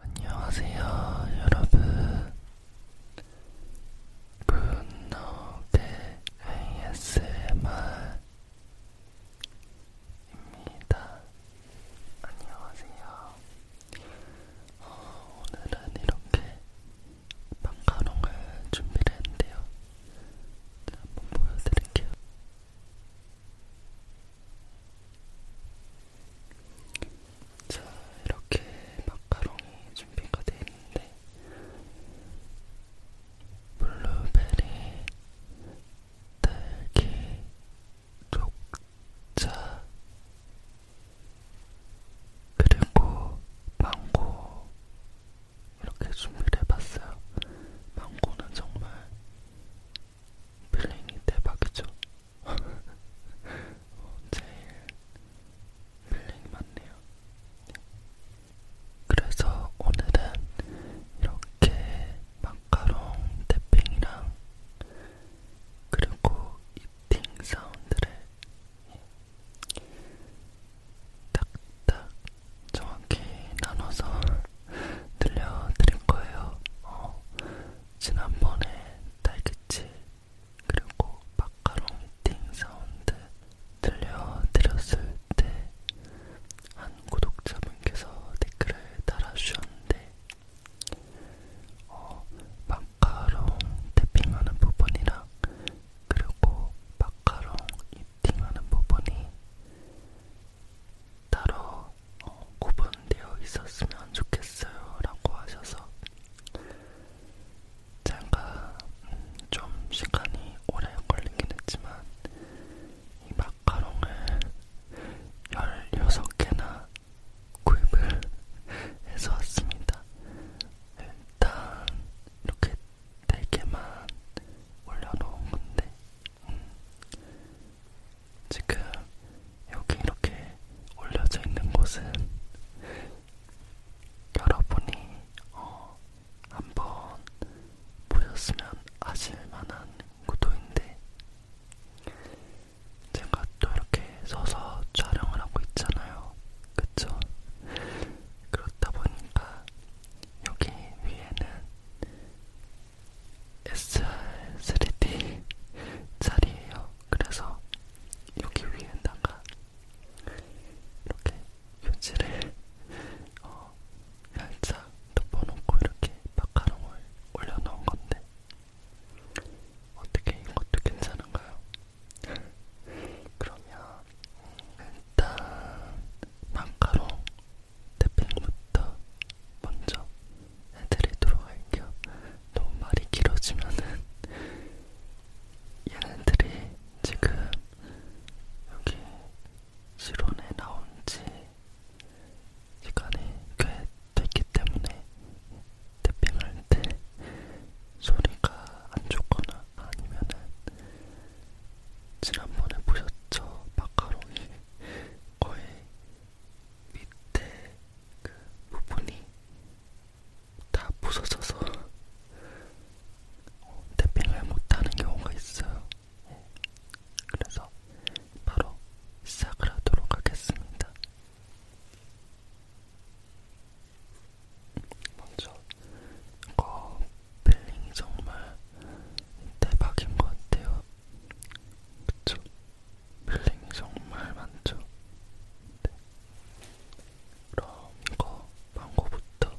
안녕하세요, 여러분. 분노의 ASMR입니다. 안녕하세요. 어, 오늘은 이렇게 마카롱을 준비를 했는데요. 한번 보여드릴게요. 자, 이렇게 마카롱이 준비가 되어 있는데, 블루베리, 딸기, 녹차, 그리고 망고 이렇게 준비를 해봤어요. 망고는 정말 필링이 대박이죠. 어, 제일 필링이 많네요. 네. 그래서 오늘은 이렇게 마카롱 태핑이랑 그리고 이팅 사운드를 예, 딱딱 정확히 나눠서 들려드릴 거예요. 어, 지난번에 딸기치 그리고 마카롱 미팅 사운드 들려드렸을 때 한 구독자분께서 댓글을 달아주셨는데 어, 마카롱 태핑하는 부분이랑 그리고 마카롱 입팅하는 부분이 따로 어, 구분되어 있었으면 좋겠어요 라고 하셔서 제가 음, 좀 시간이 오래 걸리긴 했지만 이 마카롱을 16개나 구입을 해서 왔습니다. 일단 이렇게 4개만 올려놓은 건데 음, 지금 여기 이렇게 올려져 있는 곳은 여러분이 어, 한번 보셨으면 아실만한 구도인데 제가 또 이렇게 서서 촬영을 하고 있잖아요. 그쵸? 그렇다 보니까 여기 위에는 SR3D 자리예요. 그래서 여기 위에다가 이렇게 표지를 어, 살짝 덮어놓고 이렇게 마카롱을 올려놓은 건데 어떻게 이것도 괜찮은가요? 그러면 일단 마카롱 데핑부터 먼저 해드리도록 할게요. 너무 말이 길어지면은 얘네들이 지금 여기 실온에 나온지 시간이 꽤 됐기 때문에 태핑할 때 소리가 안 좋거나 아니면은 지난번에 보셨죠? 마카롱이 거의 밑에 그 부분이 다 부서져서 탭핑을 어, 못하는 경우가 있어요. 예. 그래서 바로 시작을 하도록 하겠습니다. 먼저 거 필링이 정말 대박인 것 같아요. 그쵸? 필링이 정말 많죠. 네. 그럼 이거 망고부터.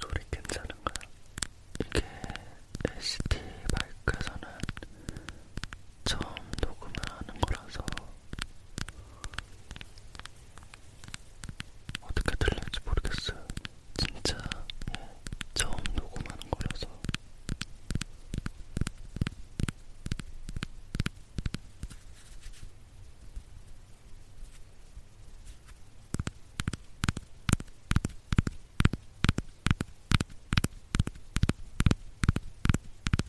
소리 괜찮은가요? 이게 ST 마이크에서는 처음 녹음을 하는 거라서 어떻게 들릴지 모르겠어요. 진짜 예, 처음 녹음하는 거라서.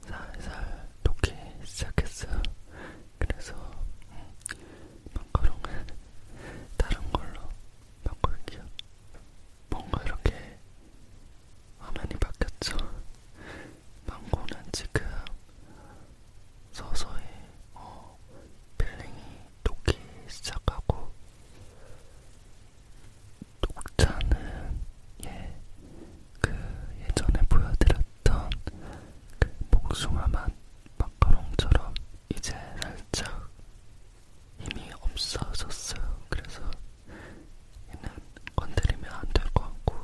살살 녹기 시작했어요. 그래서 마카롱을 음, 다른 걸로 바꿀게요. 뭔가 이렇게 화면이 바뀌었죠. 망고는 지금 서서히 어, 필링이 녹기 시작하고 녹차는 예, 그 예전에 보여드렸던 그 복숭아 맛 마카롱처럼 이제 살짝 힘이 없어졌어요. 그래서 얘는 건드리면 안 될 것 같고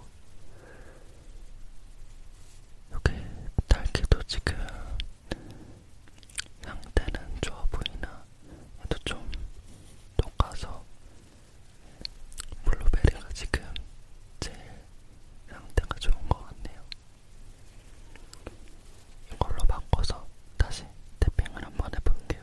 여기 딸기도 지금 상태는 좋아 보이나 얘도 좀 녹아서 블루베리가 지금 제일 상태가 좋은 것 같네요. 이걸로 바꿔서 다시 태핑을 한번 해볼게요.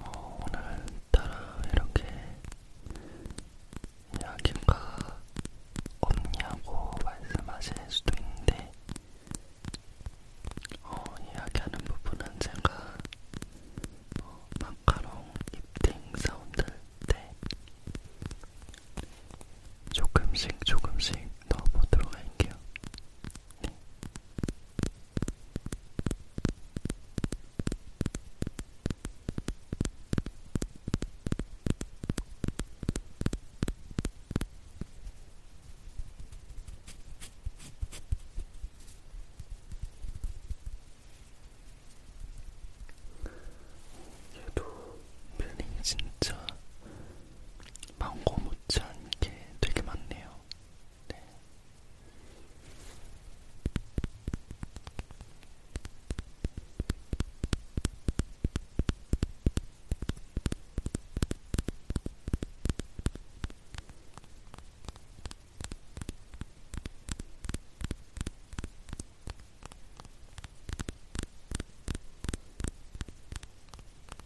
어, 오늘따라 이렇게 이야기가 없냐고 말씀하실 수도 있는데 어, 이야기하는 부분은 제가 어, 마카롱 입팅 사운드 때 조금씩 조금씩 넣어보도록 할게요. 얘도 필링이 진짜 망고 못지않게 되게 많네요. 네.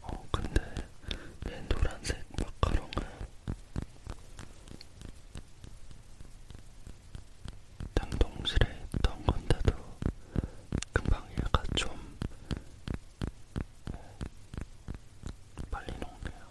어 근데 내 노란색 마카롱은 냉동실에 있던 건데도 금방 얘가 좀 네, 빨리 녹네요.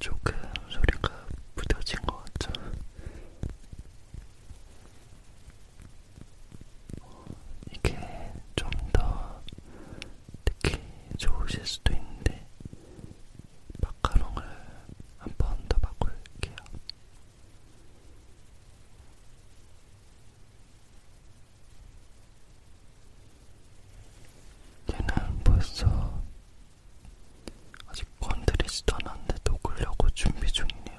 조금 소리가 부드러진 것 같죠? 이게 좀 더 특히 좋으실 수도 있는데 마카롱을 한 번 더 바꿀게요. 얘는 벌써 아직 건드리지도 않았는데 녹으려고 준비 중이네요.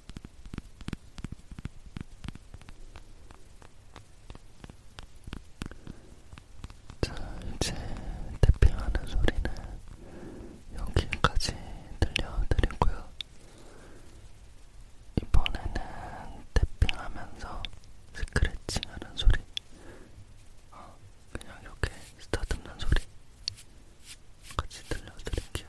자, 이제 태핑하는 소리는 여기까지 들려드리고요. 이번에는 태핑하면서 스크래칭하는 소리, 어, 그냥 이렇게 스타트는 소리 같이 들려드릴게요.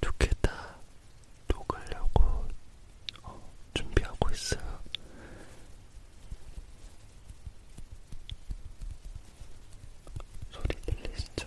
좋겠다. 녹으려고 어, 준비하고 있어요. 소리 들리시죠?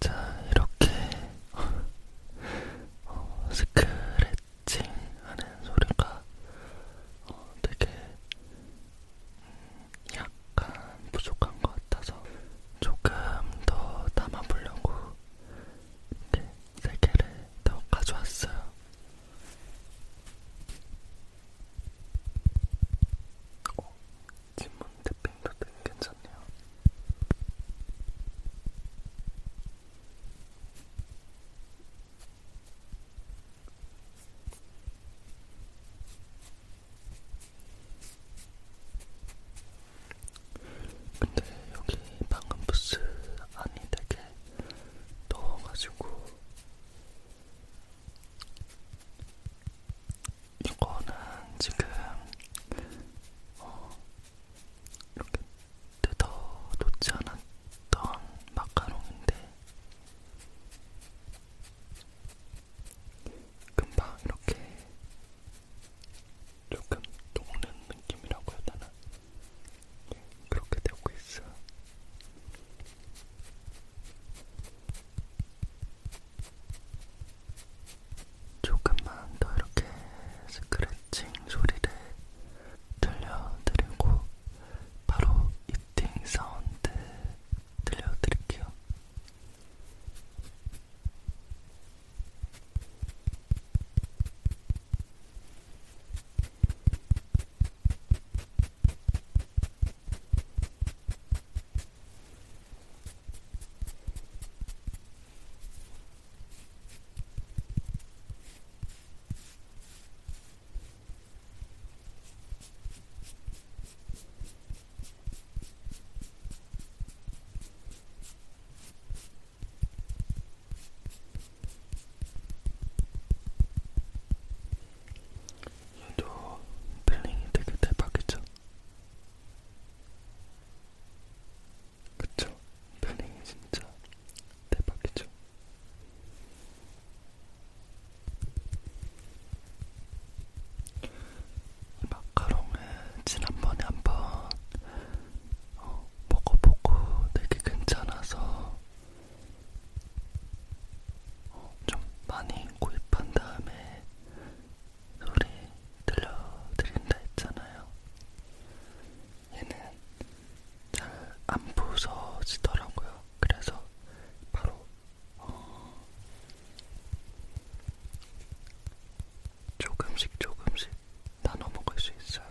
자, 이렇게 어, 스크래칭 하는 소리가 어, 되게 음, 약간 부족한 것 같아서 조금 더 담아보려고 이렇게 세 개를 더 가져왔어요. 어, 진문 대핑도 되게 괜찮네요. 근데 여기 방금 부스 안이 되게 더워가지고 이거는 지금 어, 이렇게 뜯어 놓지 않았던 마카롱인데 금방 이렇게 조금 녹는 느낌이라고 해야 되나? 그렇게 되고 있어. 조금만 더 이렇게 스크래칭 소리를 들려드리고 바로 이팅 사운드 들려드릴게요. 음. 얘도 필링이 되게 대박이죠? 그쵸? 필링이 진짜 대박이죠? 마카롱은 지난번에 한번 어, 먹어보고 되게 괜찮아서 어, 좀 많이 구입한 다음에 소리 들려드린다 했잖아요. 얘는 잘 안 부서지더라고요. 그래서 바로 어, 조금씩 조금씩 나눠 먹을 수 있어요.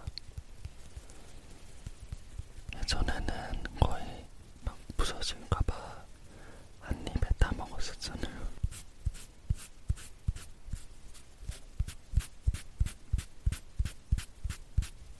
예전에는 거의 막 부서질까봐 한 입에 다 먹었었잖아요.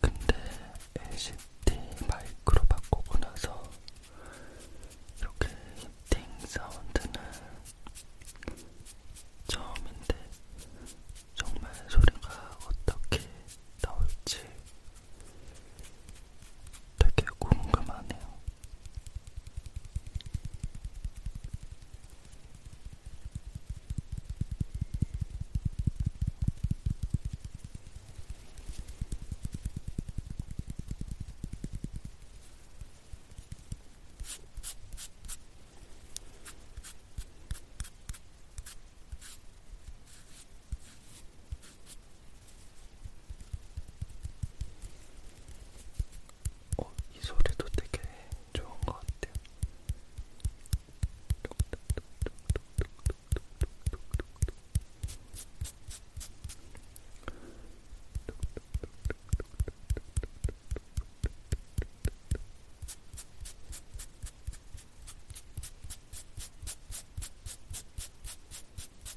근데 LCD 마이크로 바꾸고 나서 이렇게 히팅 사운드는 처음인데 정말 소리가 어떻게 나올지 되게 궁금하네요. 어, 이 소리도 되게 좋은 것 같아요. 어,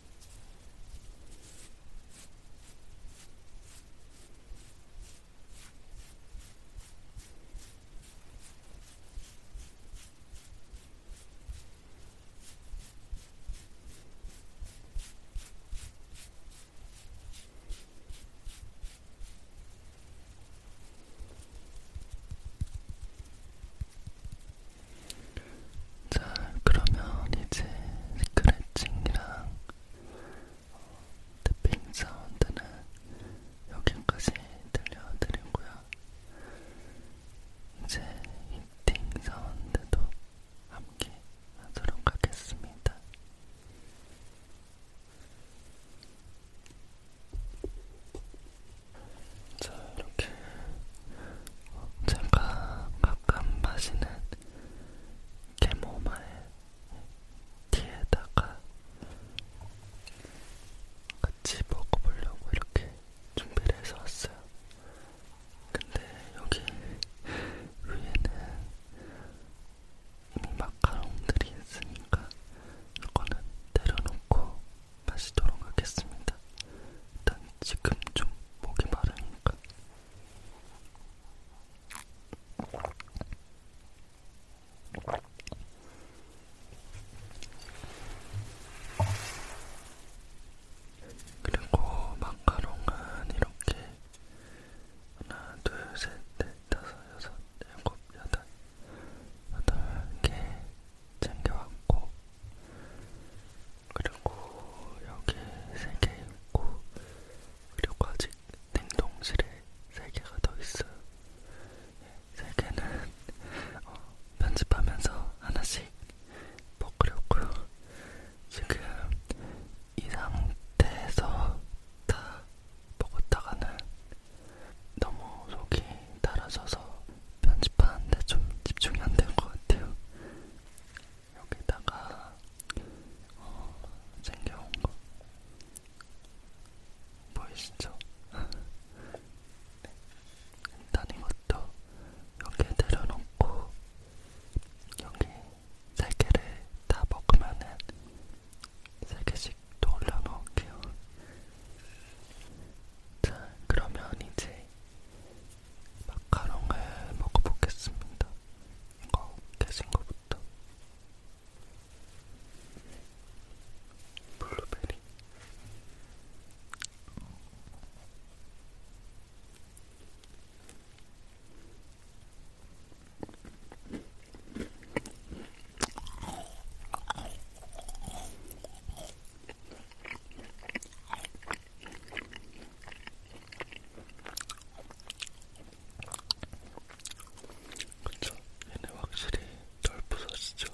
자, 그러면 이제 스크래칭이랑 탭핑 사운드는 여기까지 들려드리고요. 이제 히팅 사운드도 함께 하도록 하겠습니다. 자, 이렇게 제가 가끔 마시는 캐모마일 티에다가 같이 먹어보려고 이렇게 준비를 해서 왔어요. 근데 여기 위에는 이미 마카롱들이 있으니까 이거는 내려놓고 마시도록 하겠습니다. 일단 지금 좀 목이 마르니까. 그리고 마카롱은 이렇게 하나, 둘, 셋, 넷, 다섯, 여섯, 일곱, 여덟, 여덟 개 챙겨왔고 그리고 여기 세개 있고 그리고 아직 냉동실에 세 개가 더 있어요. 예, 세 개는 어, 편집하면서 하나씩 먹으려고요. 지금 이 상태에서 다 먹었다가는 너무 속이 달아져서 편집하는데 좀 집중이 안 된 것 같아요. 여기다가 어, 챙겨온 거 보이시죠? 네. 일단 이것도 여기에 내려놓고 여기 세 개를 다 먹으면은 세 개씩 또 올려놓을게요. 자, 그러면 이제 마카롱을 먹어보겠습니다. 이거 깨진 거부터. 블루베리. 그쵸? 얘네 확실히 덜 부서지죠?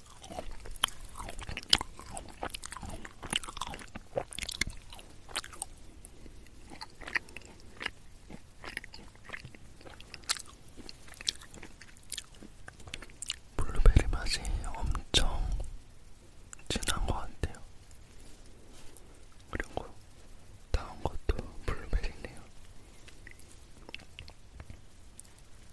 블루베리 맛이 엄청 진한 것 같아요. 그리고 다음 것도 블루베리네요.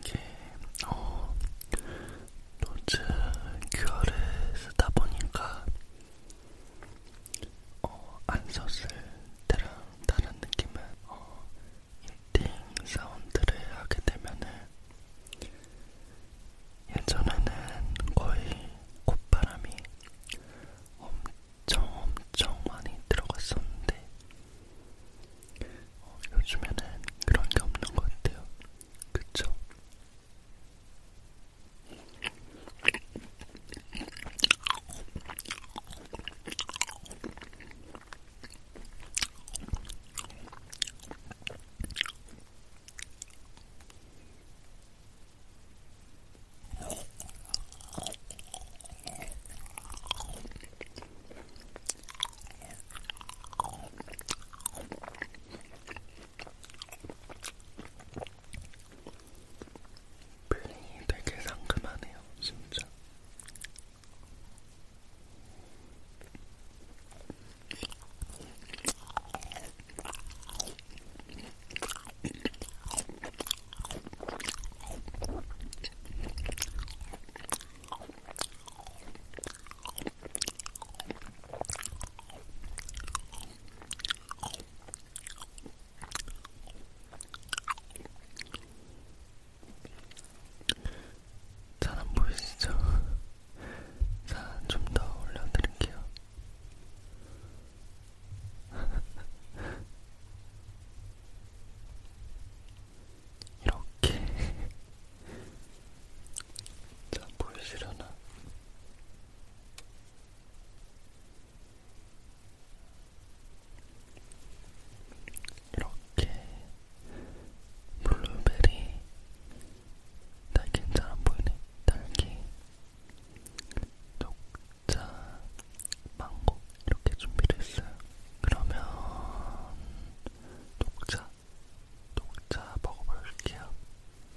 이게 어, 노즈 큐어를 쓰다 보니까 어, 안 썼을 때랑 다른 느낌은 어, 이팅 사운드를 하게 되면은 예전에는 거의 콧바람이 엄청 엄청 많이 들어갔었는데 어, 요즘에는 그런 게 없는 것 같아요. 그쵸? 블링이 되게 상큼하네요, 진짜. 잘안 보이시죠? 자, 좀 더 올려드릴게요. 이렇게 자 보이시려나? 이렇게 블루베리 딸기는 잘안 보이네. 딸기, 녹차, 망고 이렇게 준비를 했어요. 그러면 녹차, 녹차 먹어볼게요.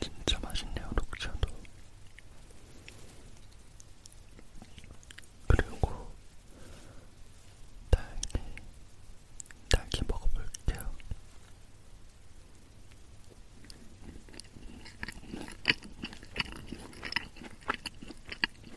진짜 맛있네요, 녹차도. 그리고 딸기, 딸기 먹어볼게요.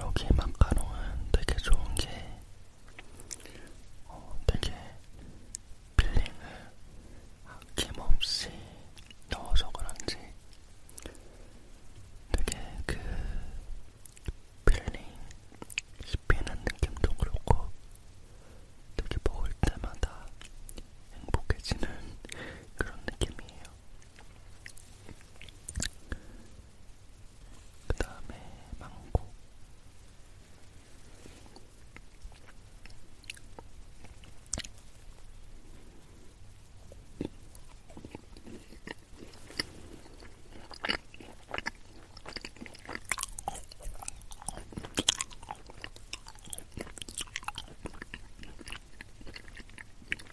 여기 마카롱은 되게 좋은 게 어, 되게 필링을 아낌없이 넣어서 그런지 되게 그 필링 씹히는 느낌도 그렇고 되게 먹을 때마다 행복해지는 그런 느낌이에요. 그 다음에 망고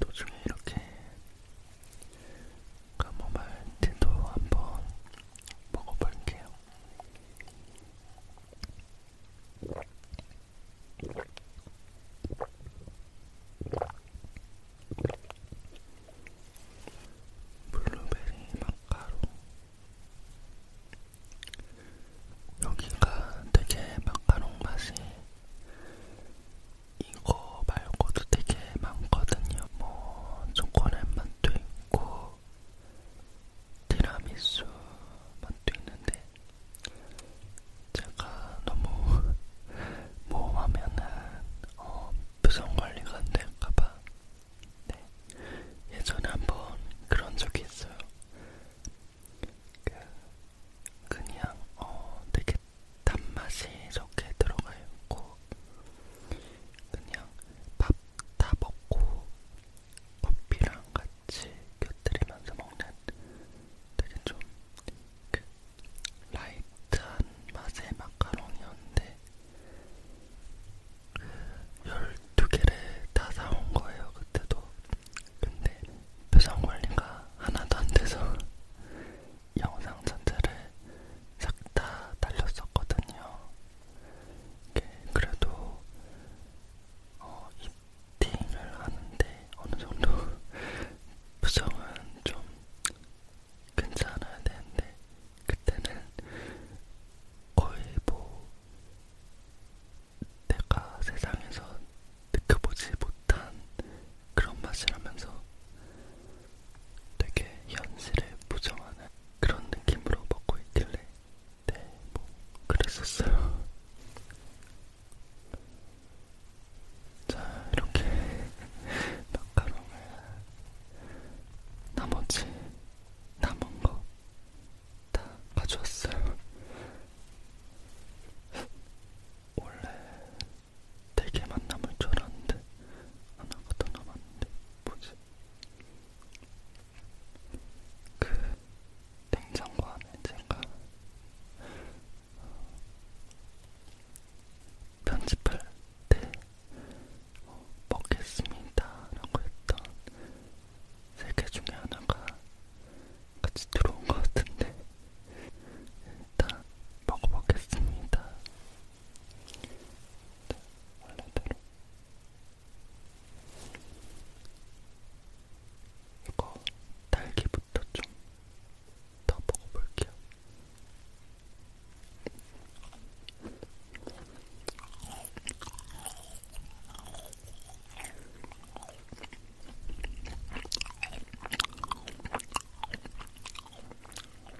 도중에 이렇게 카모마일티도 한번 먹어볼게요. 블루베리 마카롱 여기가 되게 마카롱 맛이 이거 말고도 되게 많거든요. 뭐 초콜릿 맛도 있고 티라미수 맛도 있는데 제가 너무 모험하면은 어, 표정 관리가 안 될까봐. 네. 예전에 한번 그런 적이 있어요. 그, 그냥 어 되게 단맛이 적게 들어가 있고 그냥 밥 다 먹고 커피랑 같이 곁들이면서 먹는 되게 좀 그 라이트한 맛의 마카롱이었는데 그 12개를 다 사온 거예요 그때도 근데 표정관리가 하나도 안 돼서 영상 전체를 싹 다 달렸었거든요. 그래도 어, 이팅을 하는데 어느 정도 표정은 좀 괜찮아야 되는데 그때는 거의 뭐 내가 세상에서 느껴보지 그 못한 그런 맛이라면서 되게 현실에 부정하는 그런 느낌으로 먹고 있길래 네, 뭐 그랬었어요. 자, 이렇게 마카롱을 나머지 남은 거 다 가져왔어요. 원래 되게 만남을 줄 알았는데 하나가 더 남았는데 뭐지? 그 냉장고 안에 제가 어, 편집할 때 어, 먹겠습니다라고 했던 세 개 중에 하나가 같이 들어온 것 같은데 일단 먹어보겠습니다 자, 원래대로 이거 딸기부터 좀 더 먹어볼게요.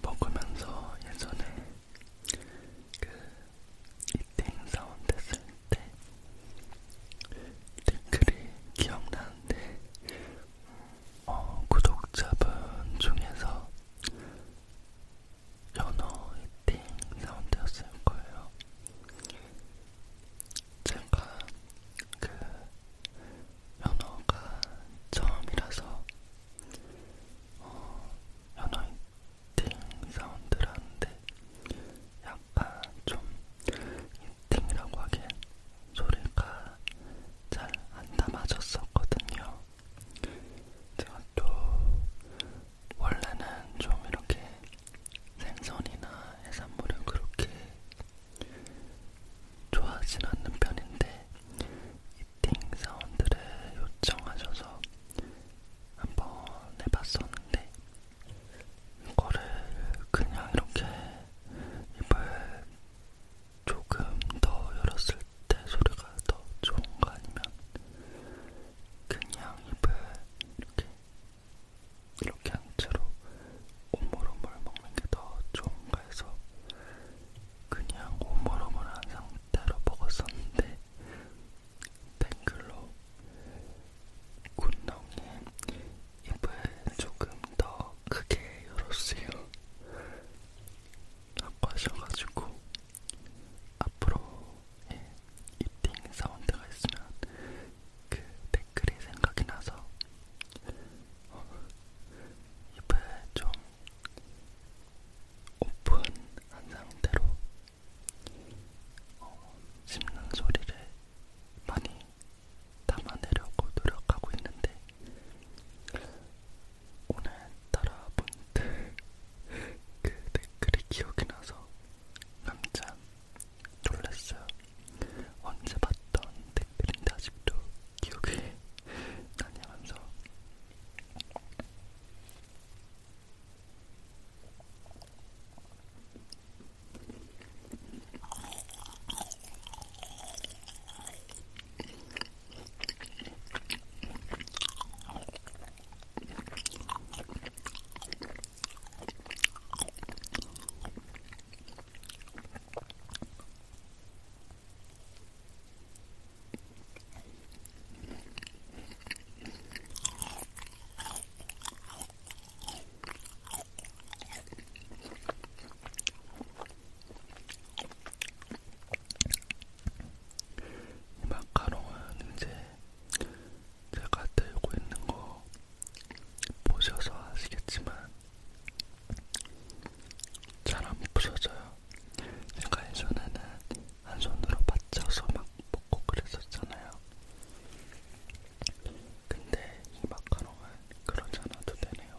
먹으면서 예전에 그 이때 행사원 됐을 때 댓글이 기억나는데 어, 구독자분 중에서 연어 히팅 사운드였을 거예요. 제가 그 연어가 처음이라서 어, 연어 히팅 사운드라는데 약간 좀 히팅이라고 하기엔 소리가 잘 안 담아졌었거든요. 제가 또 원래는 좀 이렇게 생선이나 해산물을 그렇게 좋아하진 않는 편인데 이팅 사운드를 요청하셔서 한번 해봤었는데 이거를 그냥 이렇게 입을 조금 더 열었을 때 소리가 더 좋은가 아니면 그냥 입을 이렇게 이렇게 한 채로 오물오물 먹는 게 더 좋은가 해서 그냥 오물오물한 상태로 먹었었는데 댓글로 군놈님 입을 조금 더 크게 열었어요. 아파셔가지고 앞으로의 예, 이팅 사운드가 있으면 그 댓글이 생각이 나서 어, 입을 좀 오픈한 상태로 어, 씹는 소리를 많이 담아내려고 노력하고 있는데 오늘따라 그 댓글이 기억이 나서 깜짝 놀랐어요. 언제 봤던 댓글인데 아직도 기억이 나냐면서 이 마카롱은 이제 제가 들고 있는 거 보셔서 아시겠지만 잘안 부서져요. 제가 예전에는 한 손으로 받쳐서 막 먹고 그랬었잖아요. 근데 이 마카롱은 그러지 않아도 되네요.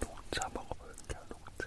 녹차 먹어볼게요. 녹차.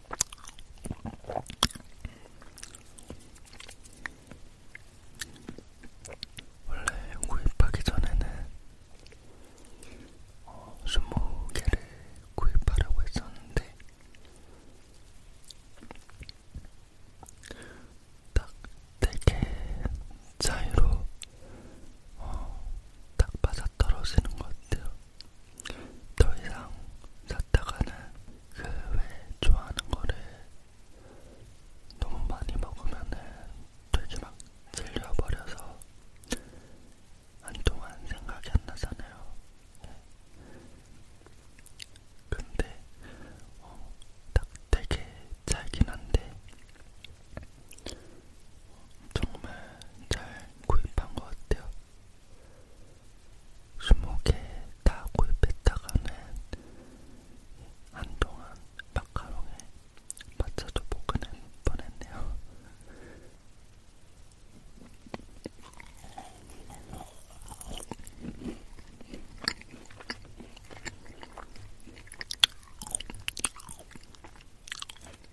원래 구입하기 전에는 어, 20개를 구입하려고 했었는데 딱 4개 차이로 어, 딱 맞아떨어지는 것 같아요. 더 이상 샀다가는 그왜 좋아하는 거를 너무 많이 먹으면은 되게 막 질려버려서 한동안 생각이 안 나잖아요. 네. 근데 어, 딱 되게 잘긴 한데 어, 정말 잘 구입한 것 같아요. 20개 다 구입했다가는 한동안 마카롱에 맞춰도 못 끊을 뻔했네요.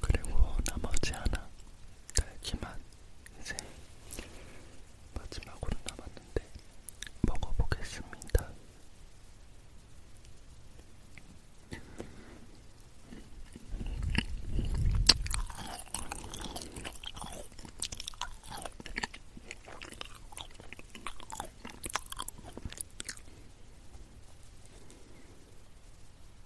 그리고 나머지 하나 딸기맛 이제 마지막으로 남았는데 먹어보겠습니다. 음.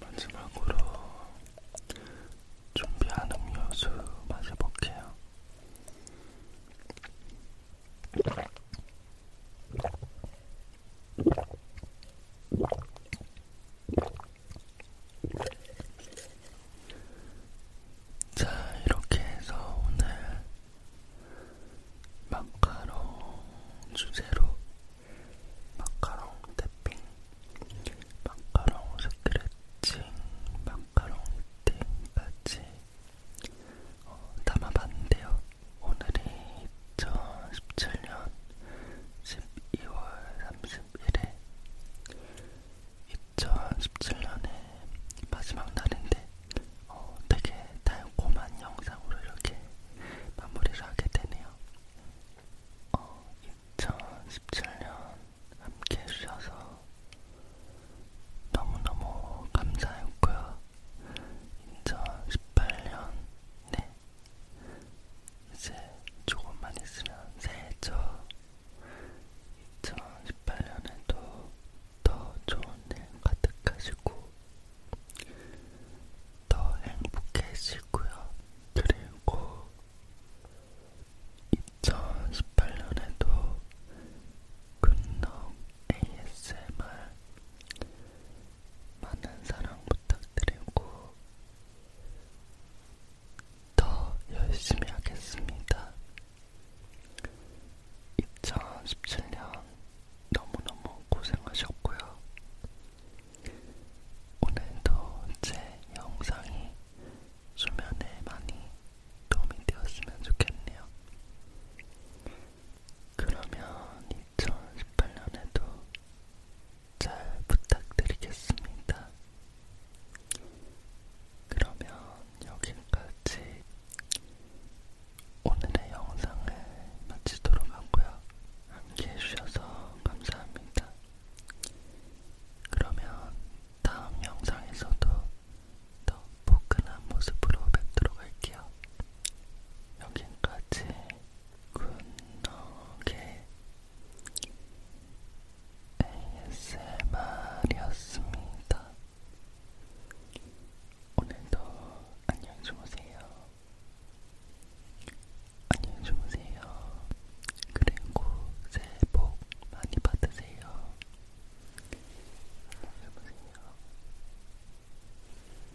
마지막으로 준비한 음료수 마셔볼게요. 자, 이렇게 해서 오늘 마카롱 주제로 마카롱 태핑, 마카롱 스크래칭, 마카롱 띵까지 어, 담아봤는데요. 오늘이 2017년 12월 31일 2017년의 마지막 날인데 어, 되게 달콤한 영상으로 이렇게 마무리를 하게 되네요. 어, 2017년 함께 해주셔서 너무너무 감사했고요. 인천 18년 네 이제 조금만 있으면 새해죠 2018년에도 더 좋은 일 가득하시고 더 행복해지고요 그리고 2018년에도 굿노 ASMR 많은 사랑 부탁드리고 더 열심히 하겠습니다. 2017년 너무너무 고생하셨고요. 오늘도 제 영상이 수면에 많이 도움이 되었으면 좋겠네요. 그러면 2018년에도 잘 부탁드리겠습니다. 그러면 여기까지 오늘의 영상을 마치도록 하고요. 함께 해주셔서 감사합니다. 그러면 다음 영상에서도 더 포근한 모습으로 뵙도록 할게요. 여기까지 굿노게 ASMR이었습니다. 오늘도 안녕히 주무세요. 안녕히 주무세요. 그리고 새해 복 많이 받으세요. 안녕히 주무세요.